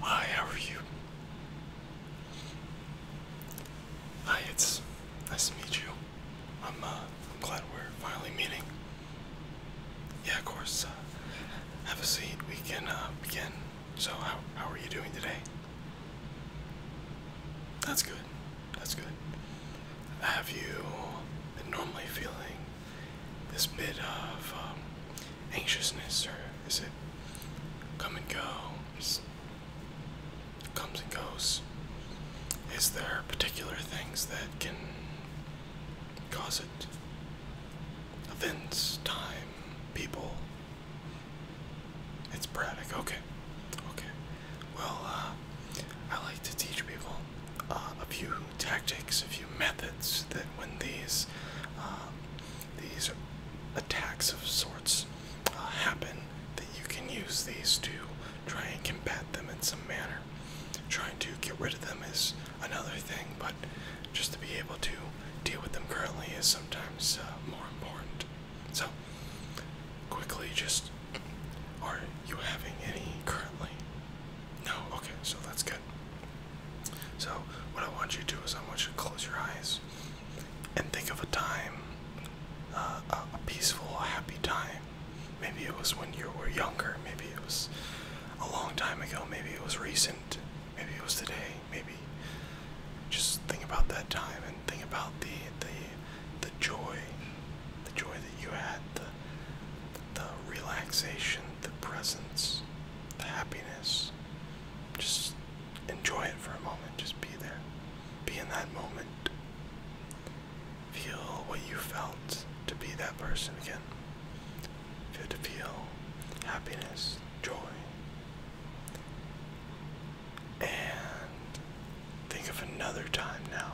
Hi, how are you? Hi, it's nice to meet you. I'm, uh, glad we're finally meeting. Yeah, of course. Uh, have a seat. We can uh, begin. So, how how are you doing today? That's good. That's good. Have you been normally feeling this bit of um, anxiousness or is it come and go? Is, comes and goes. Is there particular things that can cause it? Events, time, people. It's Braddock. Okay. Okay. Well, uh, I like to teach people uh, a few tactics, a few methods that when these uh, um, these attacks of sorts uh, happen, that you can use these to try and combat them in some manner. Trying to get rid of them is another thing, but just to be able to deal with them currently is sometimes uh, more important. So, quickly, just are you having any currently? No? Okay, so that's good. So, what I want you to do is I want you to close your eyes and think of a time, uh, a, a peaceful, happy time. Maybe it was when you were younger, maybe it was a long time ago, maybe it was recent, maybe it was today, maybe. Just think about that time and think about the the the joy, the joy that you had, the the relaxation, the presence, the happiness. Just enjoy it for a moment. Just be there. Be in that moment. Feel what you felt to be that person again. Feel to feel happiness, joy. And think of another time now.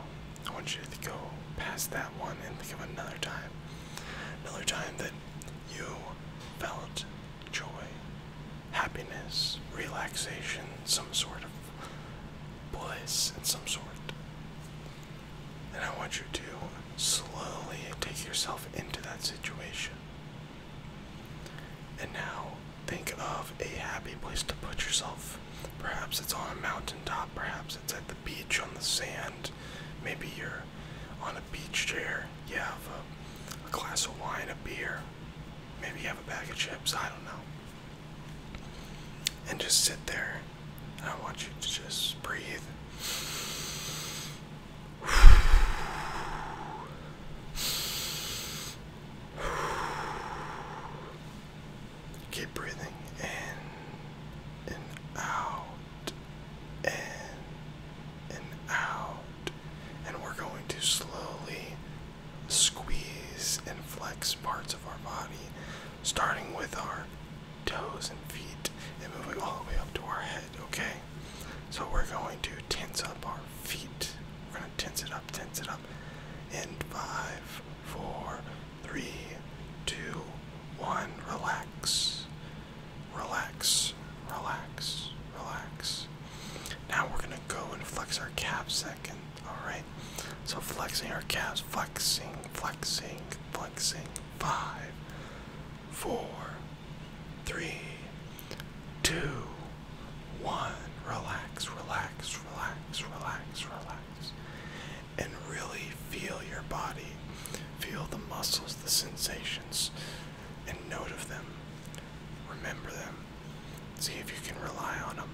I want you to go past that one and think of another time Another time that you felt joy, happiness, relaxation, some sort of bliss in some sort. And I want you to slowly take yourself into that situation. And now think of a happy place to put yourself. Perhaps it's on a mountaintop, perhaps it's at the beach on the sand, maybe you're on a beach chair, you have a glass of wine, a beer, maybe you have a bag of chips, I don't know. And just sit there. I want you to just breathe. Keep breathing in and out, in and out. And we're going to slowly squeeze and flex parts of our body, starting with our toes and feet and moving all the way up to our head, okay? So we're going to tense up our feet. We're going to tense it up, tense it up. and five, four, Three, two, one. Relax. Relax. Relax. Relax. Now we're gonna go and flex our calves second. Alright. So flexing our calves. Flexing. Flexing. Flexing. Five. Two. One. Relax. Relax. Relax. Relax. Relax and really feel your body. Feel the muscles, the sensations, and note of them. Remember them. See if you can rely on them.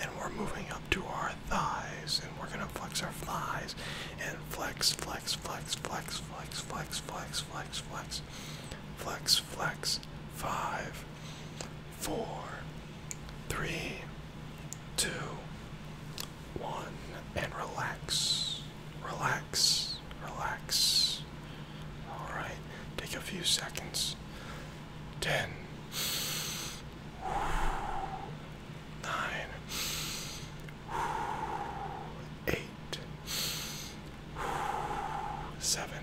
And we're moving up to our thighs, and we're gonna flex our thighs, and flex, flex, flex, flex, flex, flex, flex, flex, flex, flex, flex. Five, four, three, two, one, and relax. Relax. Relax. Alright, take a few seconds. Ten, nine, eight, seven,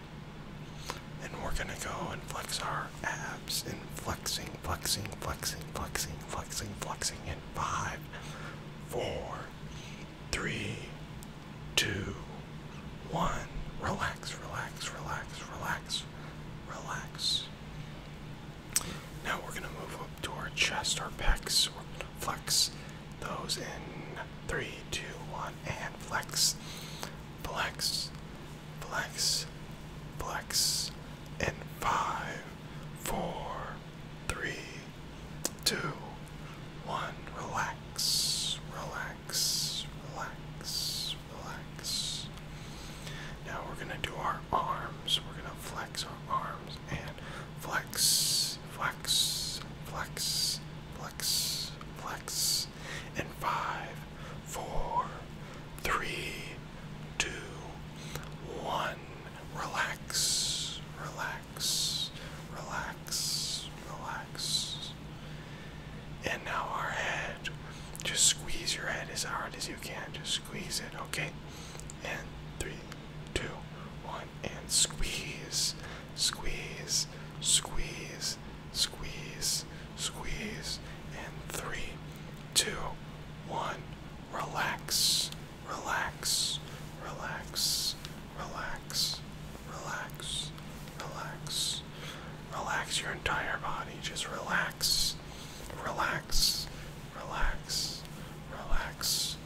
And we're gonna go and flex our abs and flexing, flexing, flexing, flexing, flexing, flexing in five, four, three, two, one. Relax, relax, relax, relax, relax. Now we're gonna move up to our chest, our pecs, we're gonna flex those in three, two, one, and flex, flex, flex, flex, and five, four, three, two, one. Relax, relax, relax, relax. Now we're gonna do our arms. We're gonna flex our arms and flex, flex, flex, flex, flex and five, four, three, two, one. Relax, relax, relax, relax. And now our head. Just squeeze your head as hard as you can. Just squeeze it, okay? And three, two, one, and squeeze, squeeze, squeeze. Squeeze, squeeze, and three, two, one. Relax, relax, relax, relax, relax, relax. Relax your entire body. Just relax, relax, relax, relax,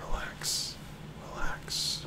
relax, relax.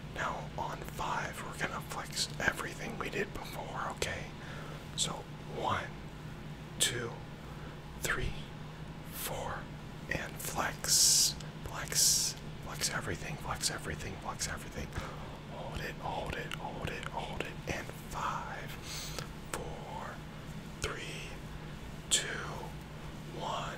Now on five, we're gonna flex everything we did before, okay? So one, two, three, four, and flex, flex, flex everything, flex everything, flex everything. Hold it, hold it, hold it, hold it, and five, four, three, two, one.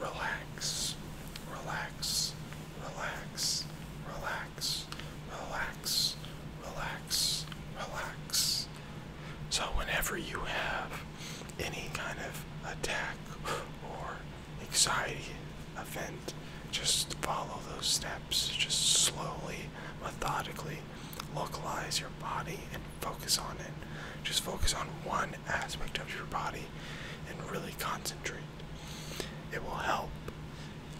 Relax, relax, relax, relax, relax, relax, relax. So, whenever you have any kind of attack or anxiety event, just follow those steps. Just slowly, methodically localize your body and focus on it. Just focus on one one aspect of your body and really concentrate. It will help.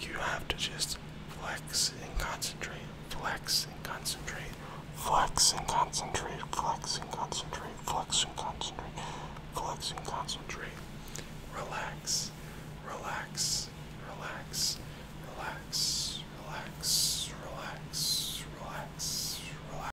You have to just flex and concentrate, flex and concentrate, flex and concentrate, flex and concentrate, flex and concentrate, flex and concentrate. Relax, relax, relax, relax, relax, relax, relax,